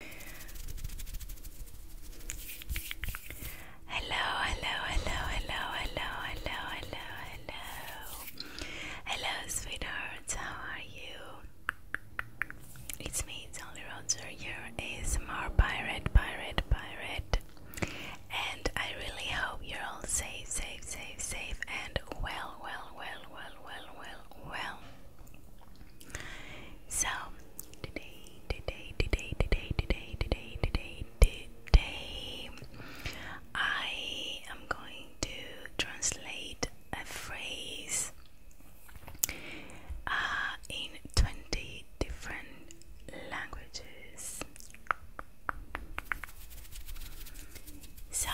Hello, hello, hello, hello, hello, hello, hello, hello. Hello, sweethearts, how are you? It's me, Dolly Roger, your my pirate, pirate, pirate. And I really hope you're all safe, safe, safe, safe, and well, well, well, well, well, well, well. So today, today, today, today, today, today, today, today, I am going to translate a phrase uh, in twenty different languages. So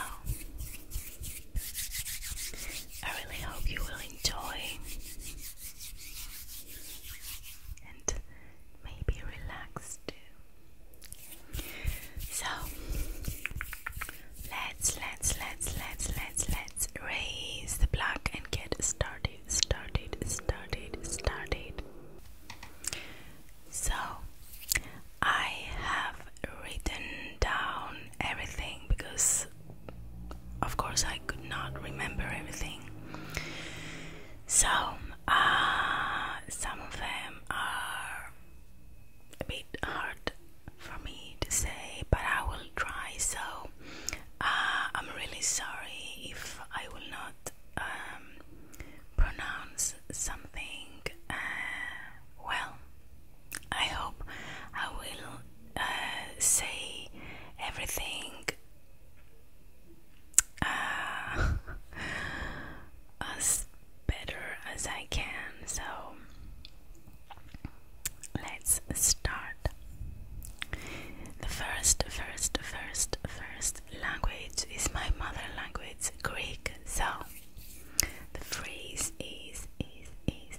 I really hope you will enjoy and maybe relax too. So let's let's let's let's let's let's raise the block and get started started started started. So I have written down everything because of course, I could not remember everything. So, uh, some of them are a bit hard for me to say, but I will try. So, uh, I'm really sorry if I will not um, pronounce something uh, well. I hope I will uh, say everything uh, as better as I can. So let's start. The first, first, first, first language is my mother language, Greek. So the phrase is is is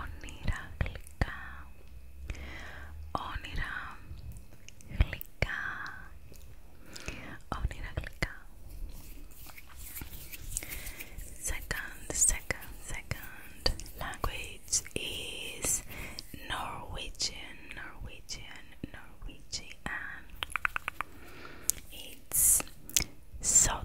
όνειρα γλυκά όνειρα γλυκά όνειρα γλυκά second, second, second language is Norwegian, Norwegian, Norwegian it's so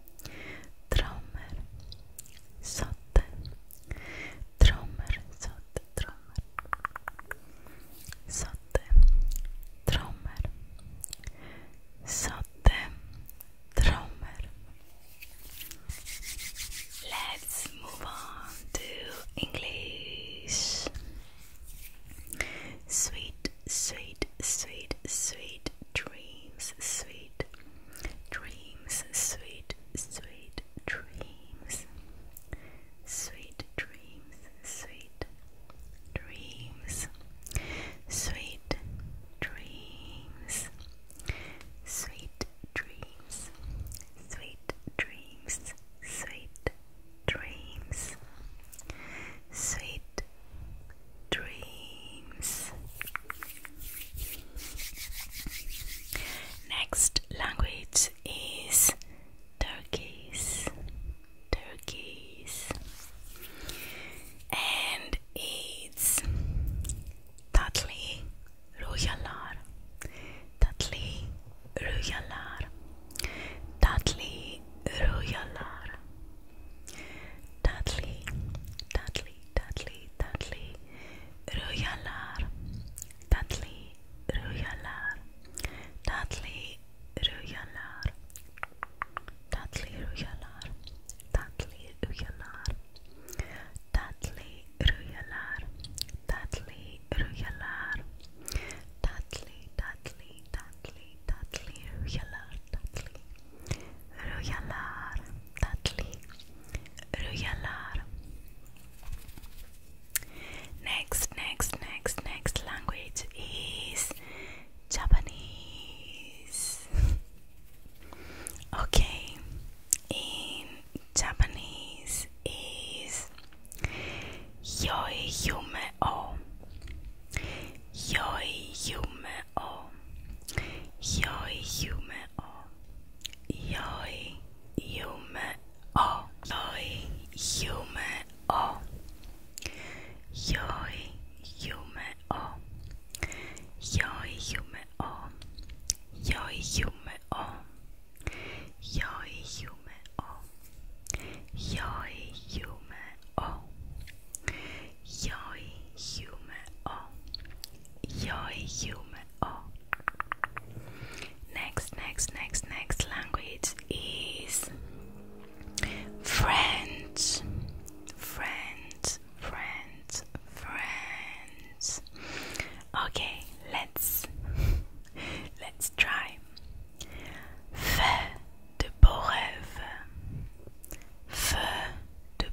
Trummor, sådde, trummor, sådde, trummor. Sådde, trummor. Sådde, trummor. Let's move on to English. Sweet, sweet, sweet, sweet, dreams, sweet dreams, sweet, sweet dreams, sweet dreams, sweet dreams, sweet dreams, sweet dreams, sweet dreams, sweet dreams, sweet dreams. Next language is Turkish. Turkish. And it's tatli rüyalar. Tatli rüyalar. Tatli rüyalar. Tatli, tatli tatli, tatli, tatli, rüyalar, tatli, rüyalar, tatli, rüyalar, tatli, rüyalar, tatli, rüyalar, tatli, rüyalar, tatli, rüyalar, tatli, tatli, tatli, tatli, rüyalar, tatli. Rüyalar, tatlı rüyalar. Next, next, next, next language is Japanese. okay, in Japanese is Yoi Yume O. Oh. Yoi Yume o Yoi yume o Yoi yume o Yoi yume o Yoi yume o Yoi yume o Yoi yume o Yoi yume o Yoi yume o Yoi yume o. Oh. Yoi yume o. Oh. Next, next, next, next language is French. French, French, French. Okay, let's let's try. Fais de beaux rêves. de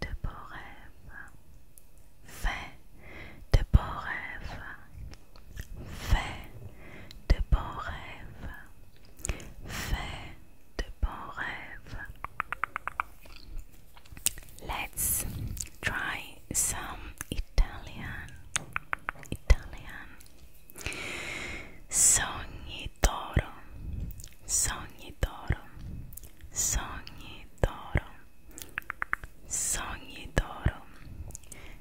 de beaux rêves. Fais de beaux rêves. Fais de beaux rêves. Fais de beaux rêves. Let's try some Italian. Italian. Sogni toro. Sogni d'oro, sogni d'oro, sogni d'oro,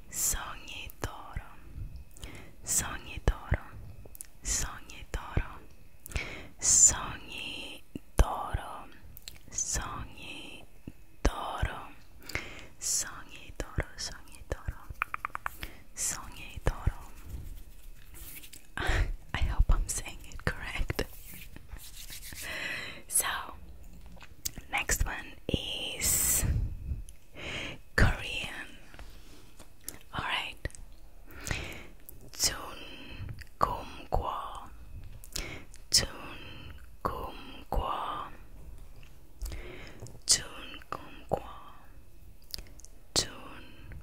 sogni d'oro, sogni d'oro, sogni d'oro, sogni d'oro, sogni d'oro, sogni d'oro, sogni d'oro, sogni d'oro. I hope I'm saying it correct. so, next one is Korean. Alright. Jun Kum Guo. Jun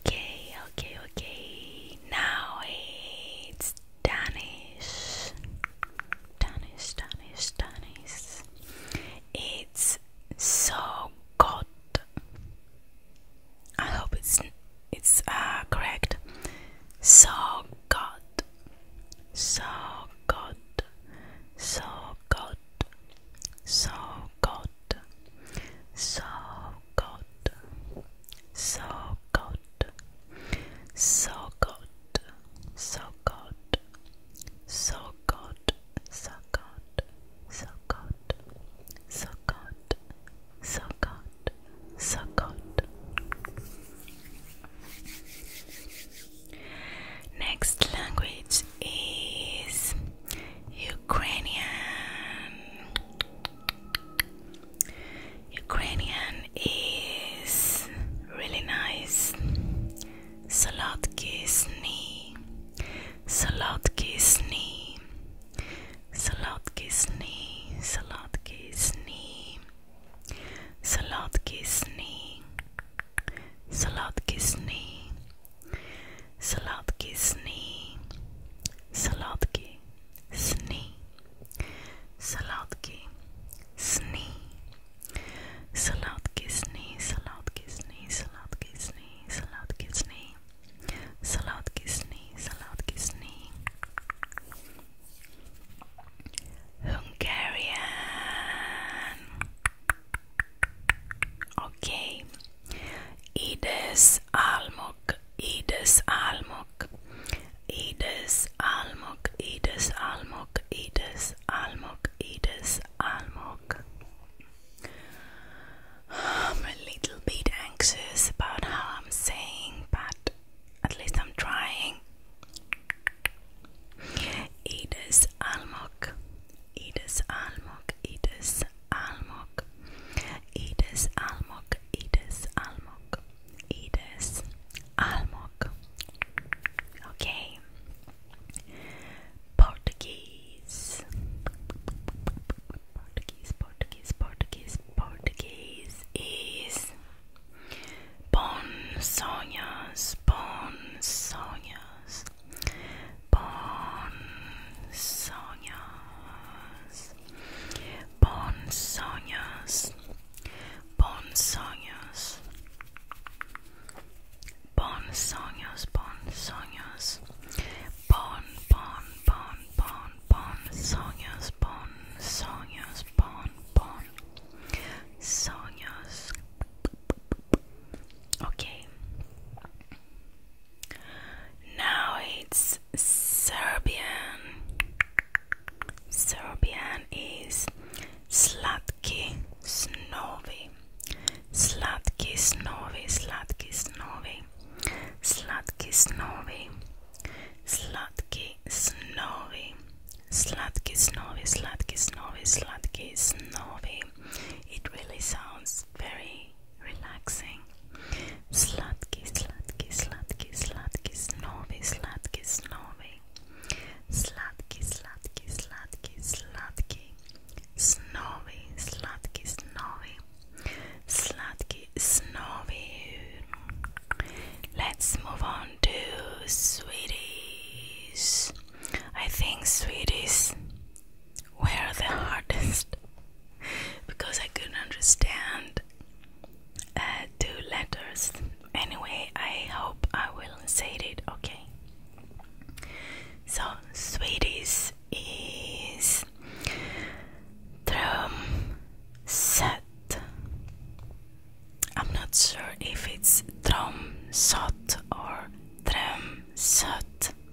Okay, okay, okay. Now it's Danish. Danish, Danish, Danish. It's so good. I hope it's it's uh, correct. So good. So good. So good. So good so good, so good, so good, so good, so good, so good, so good, so good, so good, so good. Next language is Ukrainian. Ukrainian is really nice. Solotki sni. Solotki sni. Solotki sni. Solotki sni. Solotki sni. Solotki sni. Sladki sní. Sladki sní. Sladki sní. Sladki sní. Sladki sní. Sladki sní. Sladki sní. Sladki sní. Sladki sní. Hungarian. Okay. Ides almok, Ides almok, Ides almok, Ides almok, Ides almok, Ides almok. I'm a little bit anxious about how I'm saying, but at least I'm trying. Ides almok, Ides almok, Ides almok ides almok ides almok ides almok okay Portuguese Portuguese Portuguese Portuguese Portuguese is Bon sonhos, Bonsoños. Bonsoños. Bonsoños. Bonsoños. Bonsoños. Bon, bon, bon, bon, bonsoños. Bonsoños. Bon, bon. Soños. Okay. Now it's Serbian. Serbian is Slatki snovi. Slatki snovi. Slatki snovi. Slatki snovi. Slatki snovi. Slatki snovi. Slatki snovi. Slatki snovi. It really sounds very relaxing. Slatki, slatki, slatki, slatki, snowy, slatki, snowy. Slatki, slatki, slatki, slatki. Snowy, slatki, snowy. Slatki, snowy. Let's move on to sweeties. I think sweeties were the hardest because I couldn't understand uh, two letters. Anyway, I hope I will say it okay. So, Swedish is Tromset. I'm not sure if it's Tromsot or Tromsot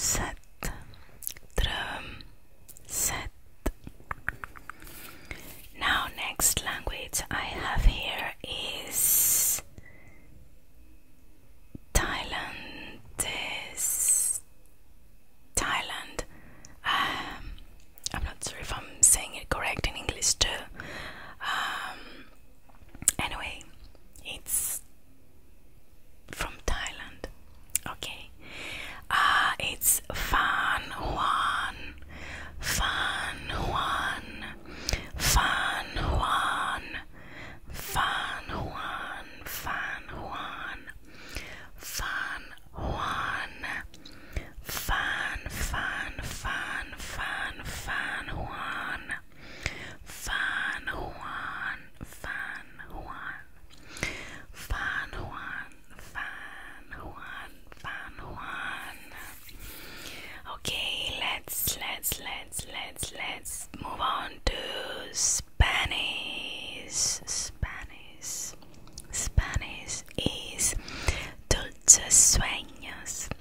Trätt, dröm, Now next language I have here is Thailand. Is um, Thailand. I'm not sure if I'm saying it correct in English too. Um, Anyway, it's from Thailand. Okay. Uh, it's Fan Huan. Fan Huan. Fan Huan. Fan Huan. Fan Huan. Fan Huan. Fan, fan, fan. Fan, Fan, Fan Juan. Fan Juan, Fan Juan. Fan Juan, Fan Juan, Fan Juan. Okay, let's let's let's let's let's move on to Spanish. Spanish. Spanish is dulces sueños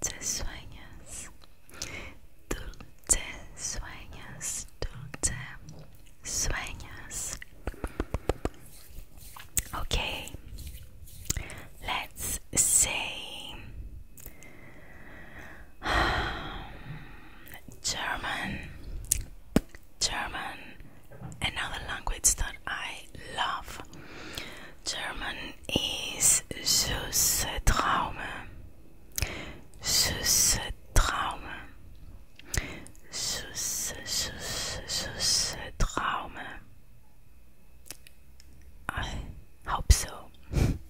dulces sueños, dulces sueños, dulce sueños. Okay, let's say German, German, another language that I love. German is Süßtraum. Süßtraum. Süß, süß, Süßtraum. I hope so.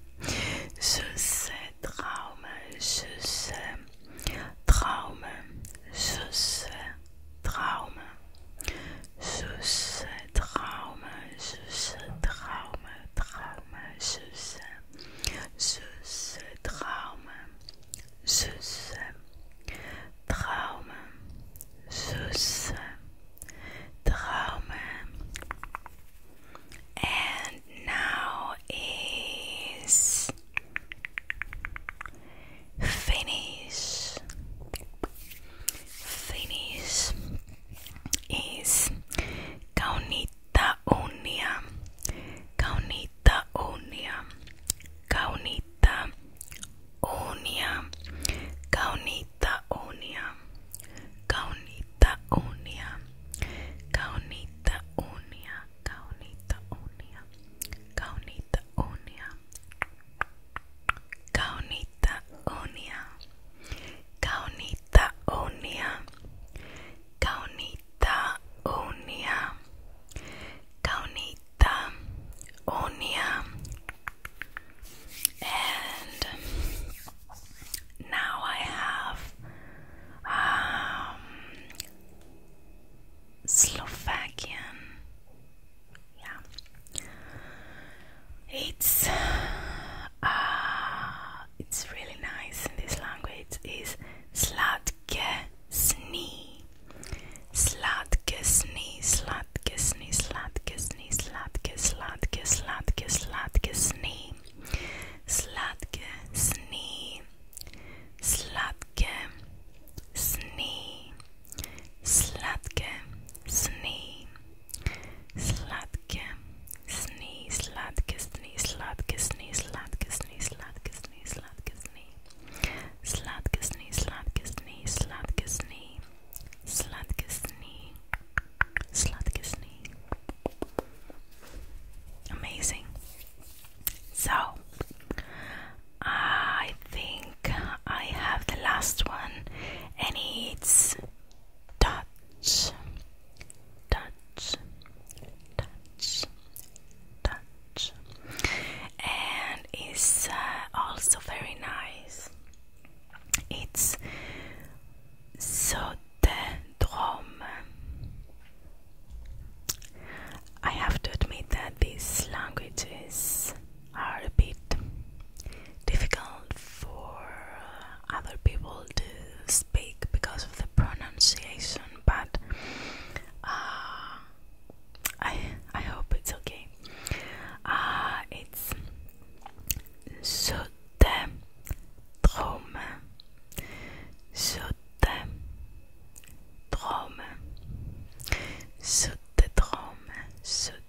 Süße Traum, süße Traum, süße Traume, Süße, Traume, Süße, Traume, Traume, Süße, Süße, Traume, And now is Finnish. Finnish is kaunita unia. Kaunita unia. Kaunita unia. Kaunita unia. Kaunita unia. Kaunita unia. Kaunita unia. Kaunita unia. Kaunita unia. Kaunita unia. Kaunita unia. Kaunita unia. And now I have um Slovakian yeah it's uh, it's really nice in this language is slatke sni slatke sni slatke sni slatke sni slatke slatke slatke slatke sni slatke sni slatke sni sladkie, sny, sladkie, sny, sladkie, sny, sladkie, sny, sladkie, sny, sladkie, sny, sladkie, sny, sladkie, sny, sladkie, sny, sladkie, sny, sladkie, sny, sladkie, sny. Amazing. So, Ah, I think I have the last one, and it's Dutch, Dutch, Dutch, Dutch, and it's uh, also very nice. It's so I have to admit that this language is are a bit difficult for other people to speak because of the pronunciation, but uh, I I hope it's okay. Uh, it's Sote Drome Sote Drome Sote Drome Sote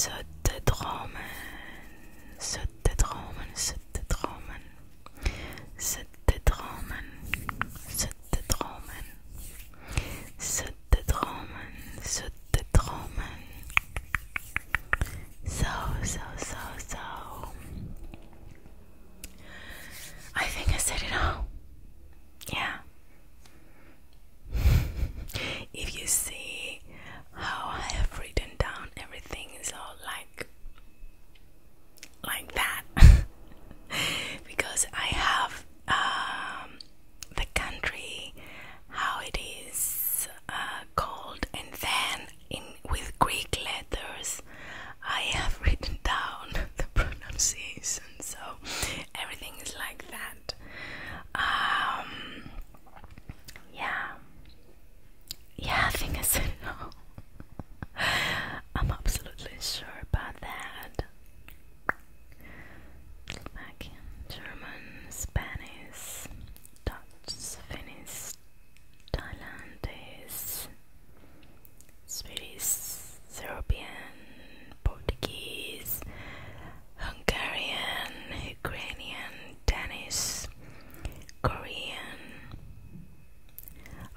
Söttedramen, Söttedramen, Söttedramen, Söttedramen, Söttedramen, Söttedramen, Söttedramen, Söttedramen. So, so, so, so. I think I said it all. Yeah. if you see how I have written down everything is all like like that because I have um, the country how it is uh, called and then in with Greek letters I have written down the pronunciation so everything is like that um, yeah, yeah, I think I am absolutely sure about that. German, Spanish, Dutch, Finnish, Thailandese, Swedish, Serbian, Portuguese, Hungarian, Ukrainian, Danish, Korean,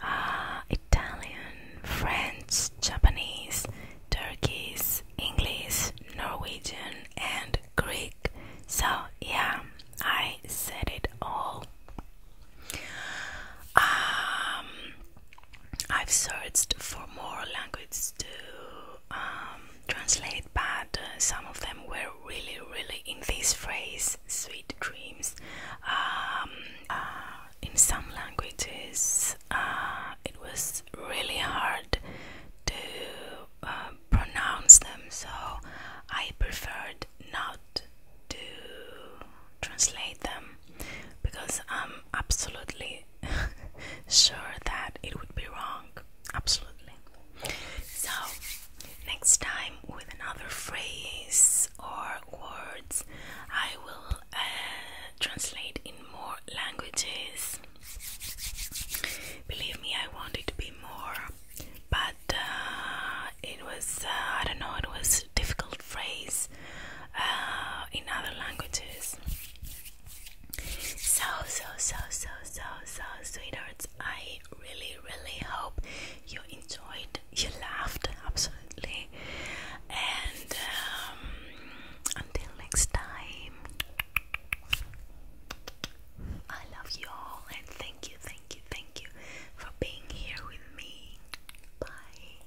uh, Italian, French, Japanese, Turkish, English, Norwegian, and Greek. So, yeah, I said it all. Um, I've searched for more languages too um, translate, but uh, some of them were really, really in this phrase "sweet dreams." Um, uh, in some languages, uh, it was really hard to pronounce them, so I preferred not to translate them because um, absolutely sure that it would be wrong. Absolutely. So, next time with another phrase or words, I will uh, translate in more languages. Believe me, I wanted to be more, but uh, it was, uh, I don't know, it was difficult phrase in other languages. So, so, so, so, so, so, sweethearts, I really, really hope you enjoyed, you laughed, absolutely. And um, until next time, I love you all and thank you, thank you, thank you for being here with me. Bye.